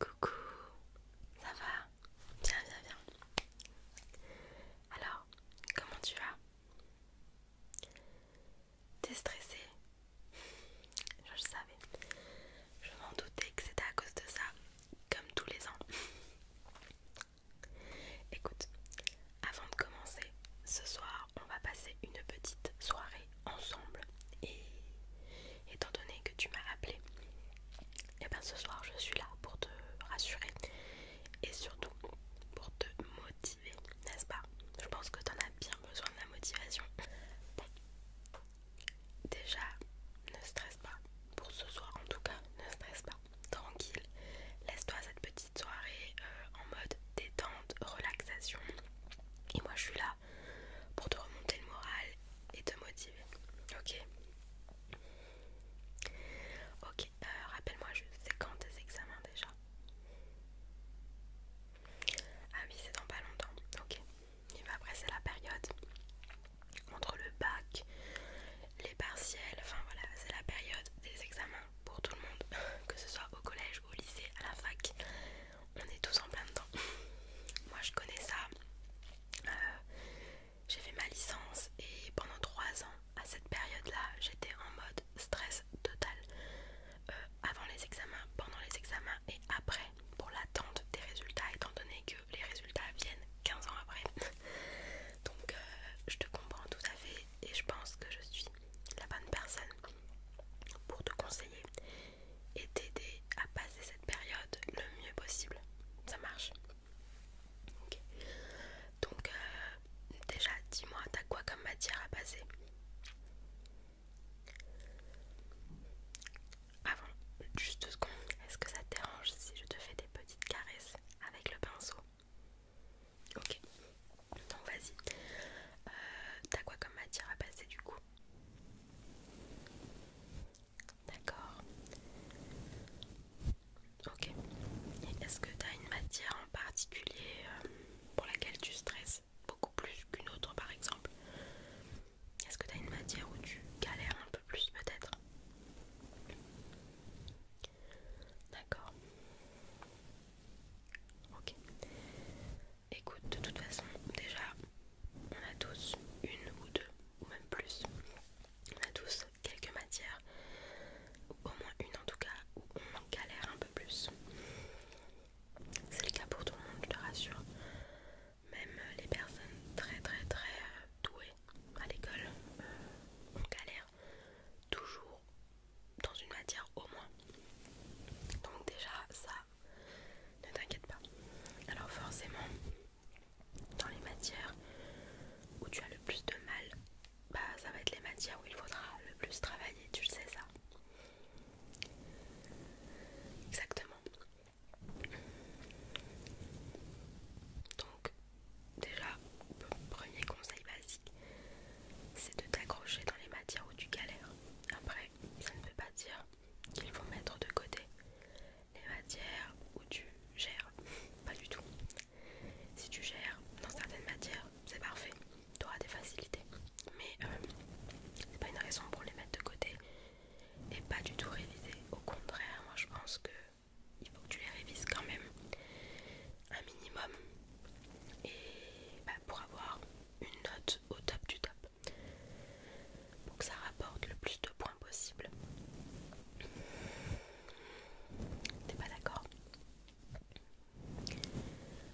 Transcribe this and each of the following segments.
Coucou, ça va Bien, bien, bien. Alors, comment tu vas T'es stressée Je le savais. Je m'en doutais que c'était à cause de ça, comme tous les ans. Écoute, avant de commencer, ce soir, on va passer une petite soirée ensemble et étant donné que tu m'as appelé et eh bien ce soir je suis là pour te rassurer et surtout pour te motiver n'est-ce pas je pense que tu en as bien besoin de la motivation déjà ne stresse pas pour ce soir en tout cas ne stresse pas tranquille laisse-toi cette petite soirée euh, en mode détente relaxation et moi je suis là pour te remonter le moral et te motiver. Ok Ok, euh, rappelle-moi juste, c'est quand tes examens déjà Ah oui, c'est dans pas longtemps. Ok, Et ben après c'est la période entre le bac, les partiels, enfin voilà, c'est la période des examens pour tout le monde, que ce soit au collège, au lycée, à la fac on est tous en plein dedans. Moi je connais ça. Euh, j'ai fait ma licence et pendant trois ans, à cette période-là, j'étais en mode stress total. Euh, avant les examens, pendant les examens et après, pour l'attente des résultats, étant donné que les résultats viennent 15 ans après. Donc euh, je te comprends tout à fait et je pense que je suis la bonne personne pour te conseiller et t'aider à passer cette période le mieux possible. Ça marche. Ok Donc euh, déjà, dis-moi, t'as quoi comme matière à passer Avant, juste deux secondes, est-ce que ça te dérange si je te fais des petites caresses avec le pinceau Ok, donc vas-y. Euh, t'as quoi comme matière à passer du coup D'accord. Ok. Est-ce que t'as une matière en particulier euh, pour laquelle tu stresses beaucoup plus qu'une autre par exemple Est-ce que t'as une matière où tu galères un peu plus peut-être D'accord. Ok écoute, de toute façon, déjà, on a tous une ou deux, ou même plus. On a tous quelques matières, ou au moins une en tout cas, où on galère un peu plus. C'est le cas pour tout le monde, je te rassure. Même les personnes très très très euh, douées à l'école, euh, on galère toujours dans une matière au moins. Donc déjà ça, ne t'inquiète pas. Alors forcément, dans les matières où tu as le plus de mal, bah ça va être les matières où il faudra le plus travailler, tu le sais ça. Exactement. Donc déjà, premier conseil basique c'est de t'accrocher dans les matières où tu galères. Après, ça ne veut pas dire qu'il faut mettre de côté les matières où tu gères. Pas du tout. Si tu gères dans certaines matières, c'est parfait. Tu auras des facilités. Mais euh, c'est pas une raison pour les mettre de côté et pas du tout réviser. Au contraire, moi je pense que il faut que tu les révises quand même un minimum et bah, pour avoir une note au top du top pour que ça rapporte le plus de points possible. T'es pas d'accord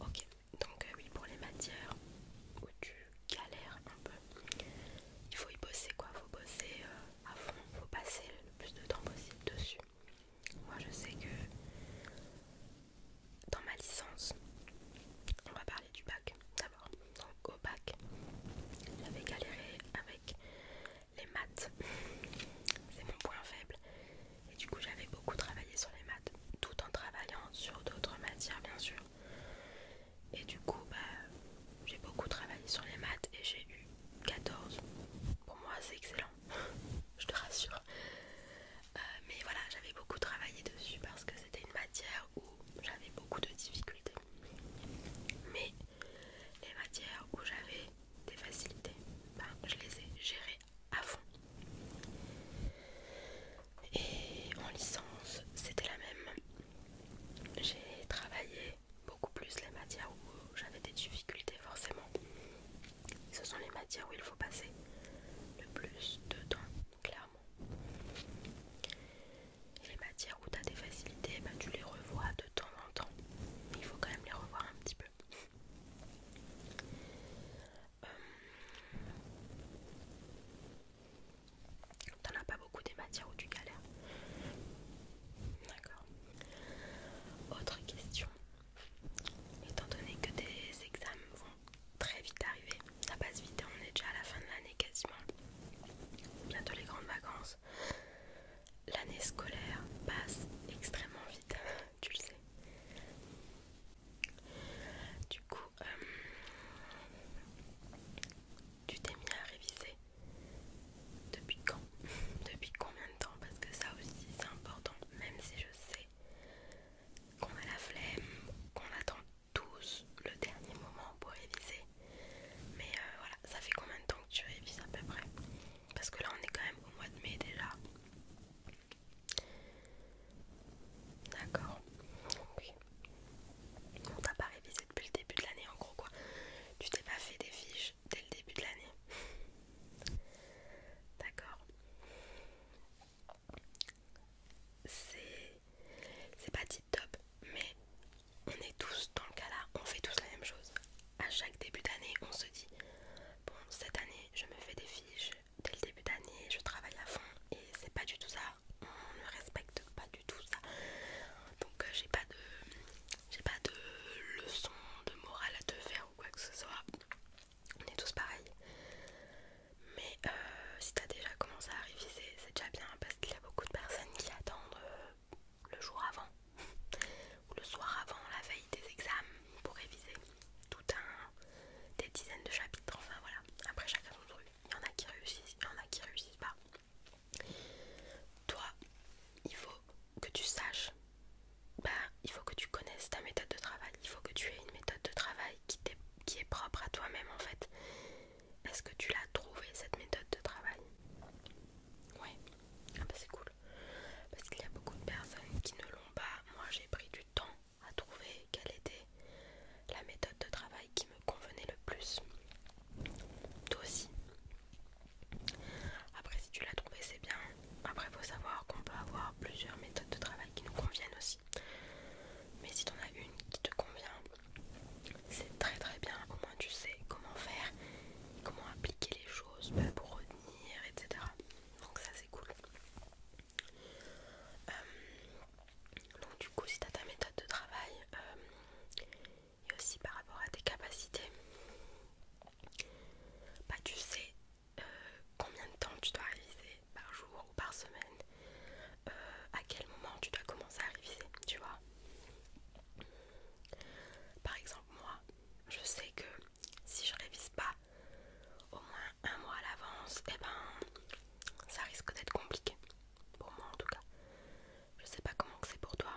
Ok, donc euh, oui, pour les matières où tu galères un peu, il faut y bosser quoi, faut bosser euh, à fond, faut passer le plus de temps possible dessus. Moi je sais que dans ma licence, on va parler du bac d'abord. Donc au bac, j'avais galéré avec les maths. C'est mon point faible. Et du coup j'avais beaucoup travaillé sur les maths, tout en travaillant sur d'autres matières bien sûr. Et du coup bah, j'ai beaucoup travaillé sur les maths et j'ai eu 14. Pour moi c'est excellent je te rassure. Euh, mais voilà, j'avais beaucoup travaillé dessus parce que c'était une matière où j'avais beaucoup de difficultés. Mais les matières où j'avais des facilités, ben, je les ai gérées à fond. Et en licence, c'était la même. J'ai travaillé beaucoup plus les matières où j'avais des difficultés forcément. Ce sont les matières où il faut passer le plus de temps, clairement. Et les matières où tu as des facilités, ben, tu les revois de temps en temps. Mais Il faut quand même les revoir un petit peu. Euh, t'en as pas beaucoup des matières où tu galères. D'accord. Autre question. Étant donné que des examens vont très vite arriver, ça passe vite on est déjà à la fin de l'année quasiment. Bientôt les grandes vacances. L'année scolaire passe extrêmement vite, tu le sais. Du coup, euh, tu t'es mis à réviser. Depuis quand Depuis combien de temps Parce que ça aussi c'est important, même si je sais qu'on a la flemme, qu'on attend tous le dernier moment pour réviser. Mais euh, voilà, ça fait combien de temps que tu révises à peu près Parce que là on est quand même au mois de mai déjà. D'accord. Oui. On t'a pas révisé depuis le début de l'année en gros quoi. Tu t'es pas fait des fiches dès le début de l'année. D'accord c'est pas dit top, mais on est tous dans le cas là, on fait tous la même chose. À chaque début d'année, on se dit bon, cette année, je me fais des fiches dès le début d'année, je travaille à fond, et c'est pas du tout ça. On ne respecte pas du tout ça. Donc euh, j'ai pas de, j'ai pas de leçon de morale à te faire ou quoi que ce soit on est tous pareils. Mais euh, si t'as déjà commencé à réviser, c'est déjà bien parce qu'il y a beaucoup de personnes qui attendent euh, le jour avant ou le soir avant, la veille des examens pour réviser tout un des dizaines de chapitres. Enfin voilà, après chacun son truc. Il y en a qui réussissent, il y en a qui réussissent pas. Toi, il faut que tu saches bah, il faut que tu connaisses ta méthode de travail, il faut que tu aies une méthode de travail qui, est, qui est propre à toi-même en fait. Est-ce que tu l'as trouvée cette méthode de travail Ouais, ah bah, c'est cool. Parce qu'il y a beaucoup de personnes qui ne l'ont pas. Moi j'ai pris du temps à trouver quelle était la méthode de travail qui me convenait le plus. Toi aussi. Après si tu l'as trouvée c'est bien, après, faut savoir qu'on peut avoir plusieurs méthodes de travail qui nous conviennent aussi. Mais si t'en as une qui te convient, c'est très très bien. Au moins, tu sais comment faire, comment appliquer les choses bah, pour retenir, etc. Donc, ça c'est cool. Euh, donc, du coup, si t'as ta méthode de travail euh, et aussi par rapport à tes capacités, bah, tu sais euh, combien de temps tu dois réviser par jour ou par semaine, euh, à quel moment tu dois commencer à réviser, tu vois. Par exemple, moi, je sais que si je révise pas au moins un mois à l'avance, et eh ben ça risque d'être compliqué. Pour moi en tout cas. Je sais pas comment c'est pour toi.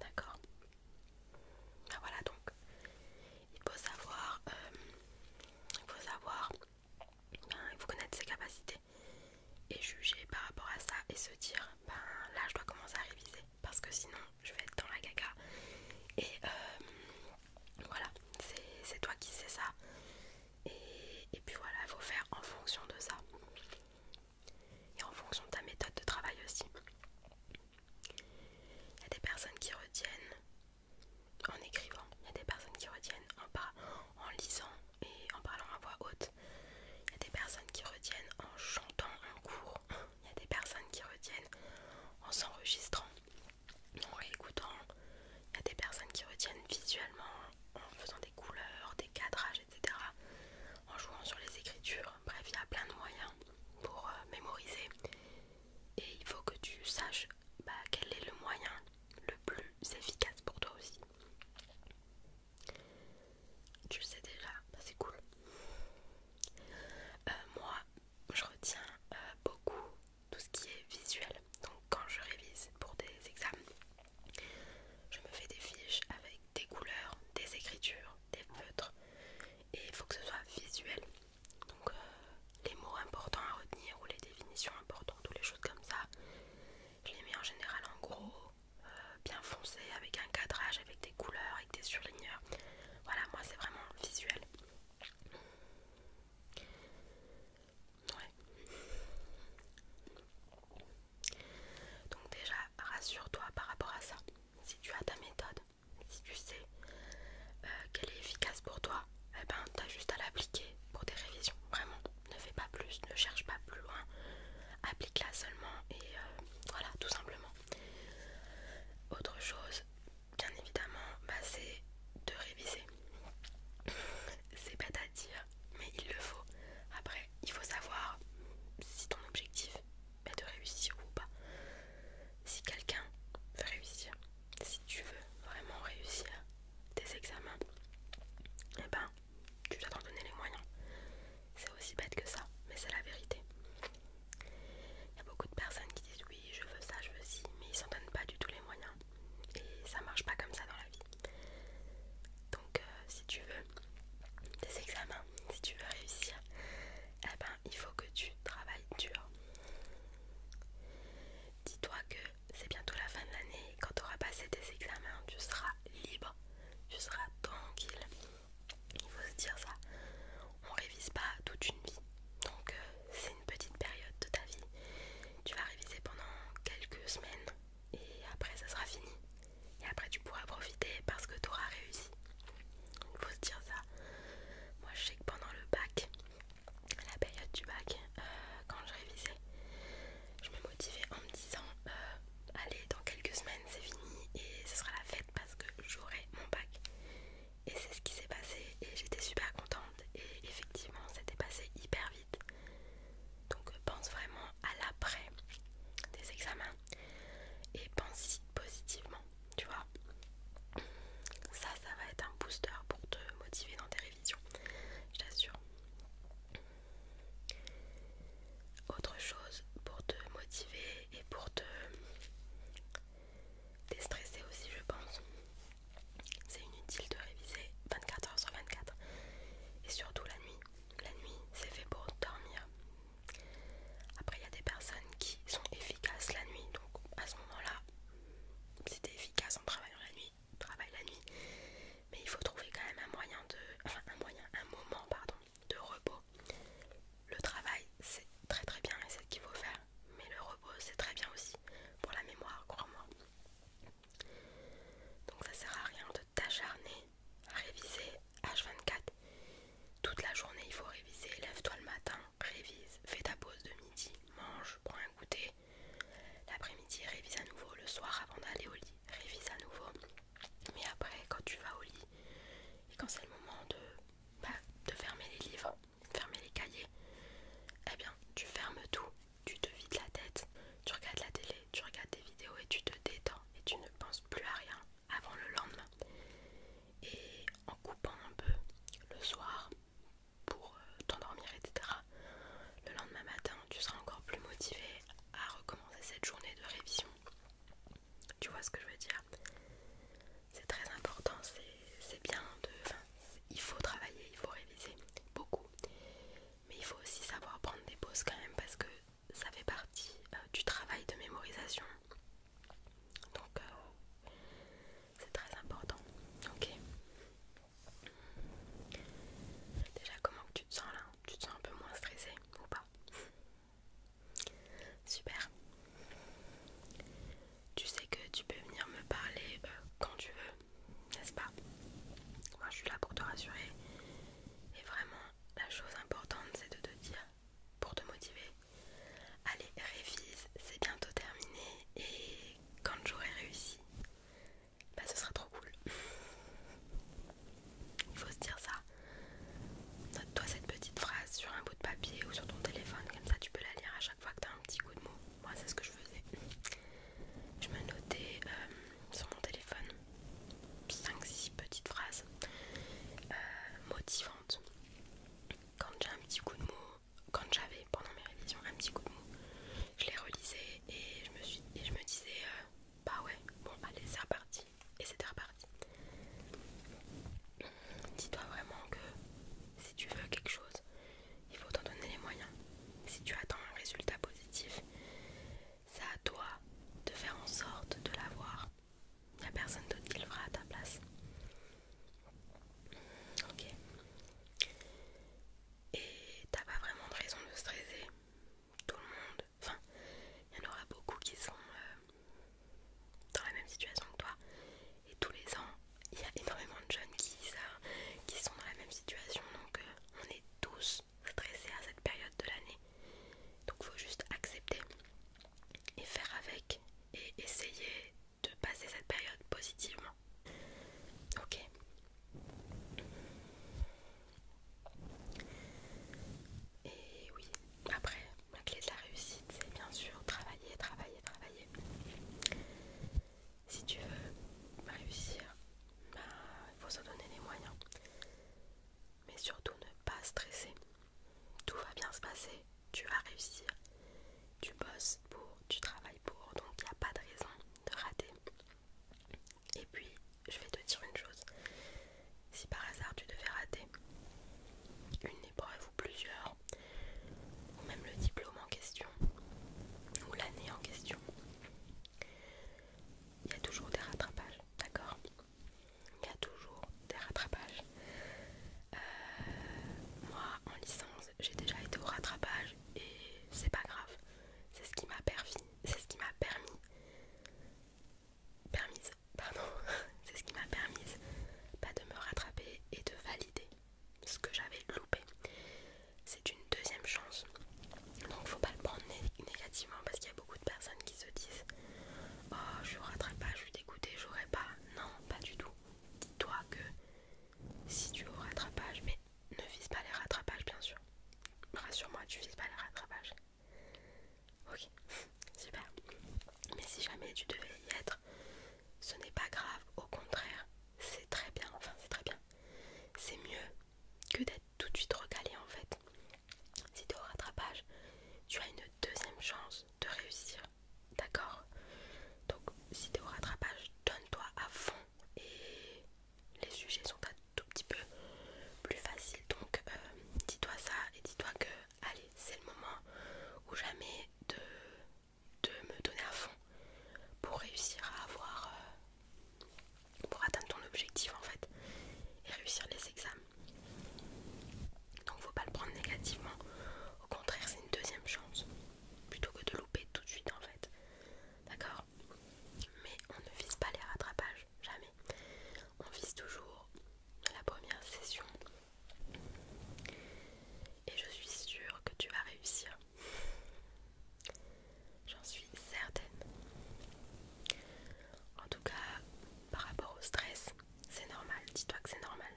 D'accord Ben voilà donc il faut savoir euh, il faut savoir ben, connaître ses capacités et juger par rapport à ça et se dire ben là je dois commencer à réviser parce que sinon je vais être dans la gaga et euh, voilà c'est toi qui sais ça et, et puis voilà il faut faire en fonction de ça et en fonction de ta méthode de travail aussi. Il y a des personnes qui retiennent en écrivant, il y a des personnes qui retiennent en, lisant et en parlant à voix haute, il y a des personnes qui retiennent en chantant en cours, il y a des personnes qui retiennent en s'enregistrant, en réécoutant, il y a des personnes qui retiennent visuellement en faisant des couleurs, des cadrages. En jouant sur les écritures. Bref, il y a plein de moyens pour euh, mémoriser. Et il faut que tu saches bah, quel est le moyen le plus efficace pour toi aussi. Tu le sais déjà, bah, c'est cool. Euh, moi, je retiens euh, beaucoup tout ce qui est visuel. Donc quand je révise pour des examens, je me fais des fiches avec des couleurs, des écritures, des feutres et il faut que ce soit visuel. Donc euh, les mots importants à retenir ou les définitions importantes ou les choses comme ça, je les mets en général en gros, euh, bien foncé, avec un cadrage, avec des couleurs, avec des surligneurs. Voilà, moi c'est vraiment visuel. Ouais. Donc déjà, rassure-toi par rapport à ça. Si tu as ta méthode, si tu sais euh, qu'elle est efficace pour toi, eh ben, tu juste à l'appliquer pour tes révisions. Vraiment, ne fais pas plus, ne cherche pas plus loin. Applique-la seulement et euh, voilà, tout simplement. Autre chose, bien évidemment, bah, c'est de réviser. c'est bête à dire, mais il le faut. Après, il faut savoir si ton objectif mais de réussir ou pas. Si quelqu'un veut réussir, si tu veux vraiment réussir tes examens, eh ben, tu dois t'en donner les moyens. C'est aussi bête que ça, mais c'est la vérité. Il y a beaucoup de personnes qui disent oui, je veux ça, je veux ci, mais ils s'en donnent pas du tout les moyens. Et ça marche pas comme ça dans la vie. Donc euh, si tu veux des examens, si tu veux réussir, eh ben, il faut que tu travailles dur. Dis-toi que c'est bientôt la fin de l'année et quand tu auras passé tes examens, tu seras libre, tu seras tranquille. Il faut se dire ça. On révise pas toute une vie. Donc euh, c'est une petite période de ta vie. Tu vas réviser pendant quelques semaines et après ça sera fini. Et après tu pourras profiter parce que tu auras réussi. Il faut se dire ça. Moi je sais que pendant le bac, la période du bac, euh, quand je révisais, je me motivais en me disant euh, allez dans quelques semaines c'est fini et ce sera la fête parce que j'aurai mon bac. Et c'est ce qui s'est passé et j'étais super contente et effectivement c'était passé hyper vite. Donc pense vraiment à l'après des examens, et pense positivement, tu vois. Ça, ça va être un booster pour te motiver dans tes révisions, je t'assure. Autre chose pour te motiver et pour te déstresser aussi, je pense. C'est inutile de réviser 24 heures sur 24 et surtout la nuit. La nuit, c'est fait pour dormir. Après, il y a des personnes qui sont efficaces la nuit, donc à ce moment-là, si t'es efficace en travaillant la nuit, travaille la nuit. Mais il faut trouver quand même un moyen de, enfin un moyen, un moment pardon, de repos. Le travail, c'est très très bien et c'est ce qu'il faut faire, mais le repos, c'est très bien aussi pour la mémoire, crois-moi. Donc ça sert à rien de t'acharner réviser H24. Toute la journée, il faut réviser. Lève-toi le matin, révise, fais ta pause de midi, mange, prends un goûter. L'après-midi, révise à nouveau. Le soir, avant d'aller au lit, révise à nouveau. Mais après, quand tu vas au lit et quand c'est le moment de, bah, de fermer les livres, de fermer les cahiers, eh bien, tu fermes tout, tu te vides la tête, tu regardes la télé, tu regardes des vidéos et tu te détends et tu ne penses plus à rien avant le lendemain. Et en coupant un peu le soir pour euh, t'endormir, etc., le lendemain matin, tu seras encore plus motivé à recommencer cette journée de révision. Tu vois ce que je veux dire C'est très important, c'est bien de... il faut travailler, il faut réviser beaucoup. Mais il faut aussi savoir prendre des pauses quand même parce que ça fait partie euh, du travail de mémorisation. Donc euh, c'est très important. Ok. Déjà comment tu te sens là Tu te sens un peu moins stressé ou pas Super. Tu sais que tu peux venir me parler euh, quand tu veux, n'est-ce pas Moi je suis là pour te rassurer et vraiment la chose importante c'est de te dire, pour te motiver, allez révise, c'est bientôt terminé et quand j'aurai réussi, bah ce sera trop cool. Il faut se dire ça. Note-toi cette petite phrase sur un bout de papier ou sur ton téléphone, comme ça tu peux la lire à chaque fois que tu as un petit coup de mot. Moi c'est ce que je faisais. Je me notais... Euh, sur mon téléphone 5-6 petites phrases euh, motivantes quand j'ai un petit coup de mou quand j'avais pendant mes révisions un petit coup de mou je les relisais et je me, disais euh, bah ouais bon allez c'est reparti et c'était reparti dis-toi vraiment que si tu veux quelque chose il faut t'en donner les moyens si tu attends un résultat positif c'est à toi de faire en sorte de l'avoir. Il n'y a personne d'autre qui le fera à ta place. Ok. Et t'as pas vraiment de raison de stresser. Tout le monde, enfin, il y en aura beaucoup qui sont euh, dans la même situation que toi. Et tous les ans, il y a énormément de jeunes qui, sont dans la même situation. Donc euh, on est tous à cette période de l'année. Donc faut juste accepter et faire avec et essayer de passer cette période positivement. Ok. Et oui, après, la clé de la réussite, c'est bien sûr travailler, travailler, travailler. Si tu veux réussir, il bah, faut se donner les moyens mais surtout ne pas stresser. Tout va bien se passer, tu vas réussir. Tu bosses pour, tu travailles pour, donc il n'y a pas de raison de rater. Et puis, je vais te dire une chose. Si par hasard tu devais rater une épreuve ou plusieurs, ou même le diplôme en question, ou l'année en question, il y a toujours des rattrapages, d'accord Il y a toujours des rattrapages. Euh, moi, en licence, j'ai déjà été au rattrapage et c'est pas grave. C'est ce qui m'a permis, c'est ce qui m'a permis, permise, pardon, c'est ce qui m'a permise pas de me rattraper et de valider ce que j'avais loupé. C'est une deuxième chance donc faut pas le prendre négativement parce qu'il y a beaucoup de personnes qui se disent Oh je suis au rattrapage, je suis dégoûtée, j'aurais pas. Non, pas du tout. Dis-toi que si tu es au rattrapage, mais ne vise pas les rattrapages bien sûr. Rassure-moi, tu vises pas les rattrapages. Ok, super. Mais si jamais tu devais y être, ce n'est pas grave, au contraire, c'est très bien, enfin c'est très bien. C'est mieux que d'être tout de suite recalé en fait. Si t'es au rattrapage, tu as une deuxième chance de réussir. D'accord Donc si t'es au rattrapage, donne-toi à fond et les sujets sont un tout petit peu plus faciles. Donc euh, dis-toi ça et dis-toi que allez, c'est le moment ou jamais de, de me donner à fond pour réussir à avoir euh, pour atteindre ton objectif en fait et réussir les examens. Donc faut pas le prendre négativement. Au contraire, c'est une deuxième chance plutôt que de louper tout de suite en fait. D'accord Mais on ne vise pas les rattrapages, jamais. On vise toujours la première session. Et je suis sûre que tu vas réussir. J'en suis certaine. En tout cas, par rapport au stress, c'est normal. Dis-toi que c'est normal.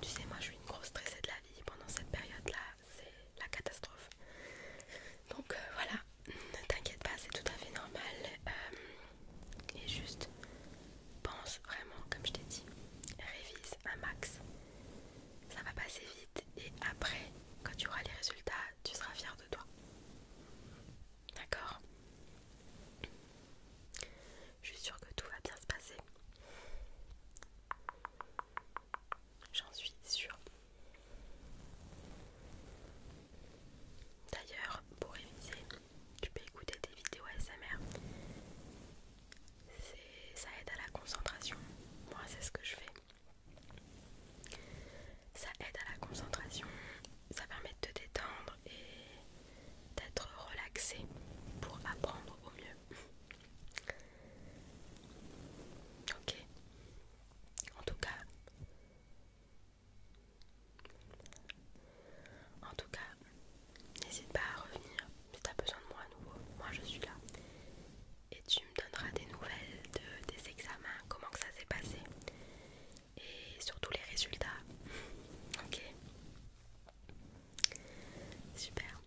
Tu sais, moi je suis une grosse stressée de la vie. Pendant cette période-là, c'est la catastrophe. Donc euh, voilà, ne t'inquiète pas, c'est tout à fait normal. Euh, et juste, pense vraiment, comme je t'ai dit, révise un max ça va passer vite et après, quand tu auras les résultats, tu seras fier de toi. D'accord Je suis sûre que tout va bien se passer. J'en suis sûre. D'ailleurs, pour réviser, tu peux écouter des vidéos ASMR. Ça aide à la concentration. Moi, c'est ce que je fais. Ça aide à la concentration, ça permet de te détendre et d'être relaxé pour apprendre au mieux. Ok. En tout cas, en tout cas, n'hésite pas à revenir si as besoin de moi à nouveau. Moi, je suis là et tu me donneras des nouvelles des examens, comment que ça s'est passé et surtout les résultats. ok Super.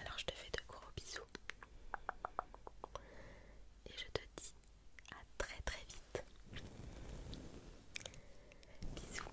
Alors je te fais de gros bisous et je te dis à très très vite. Bisous.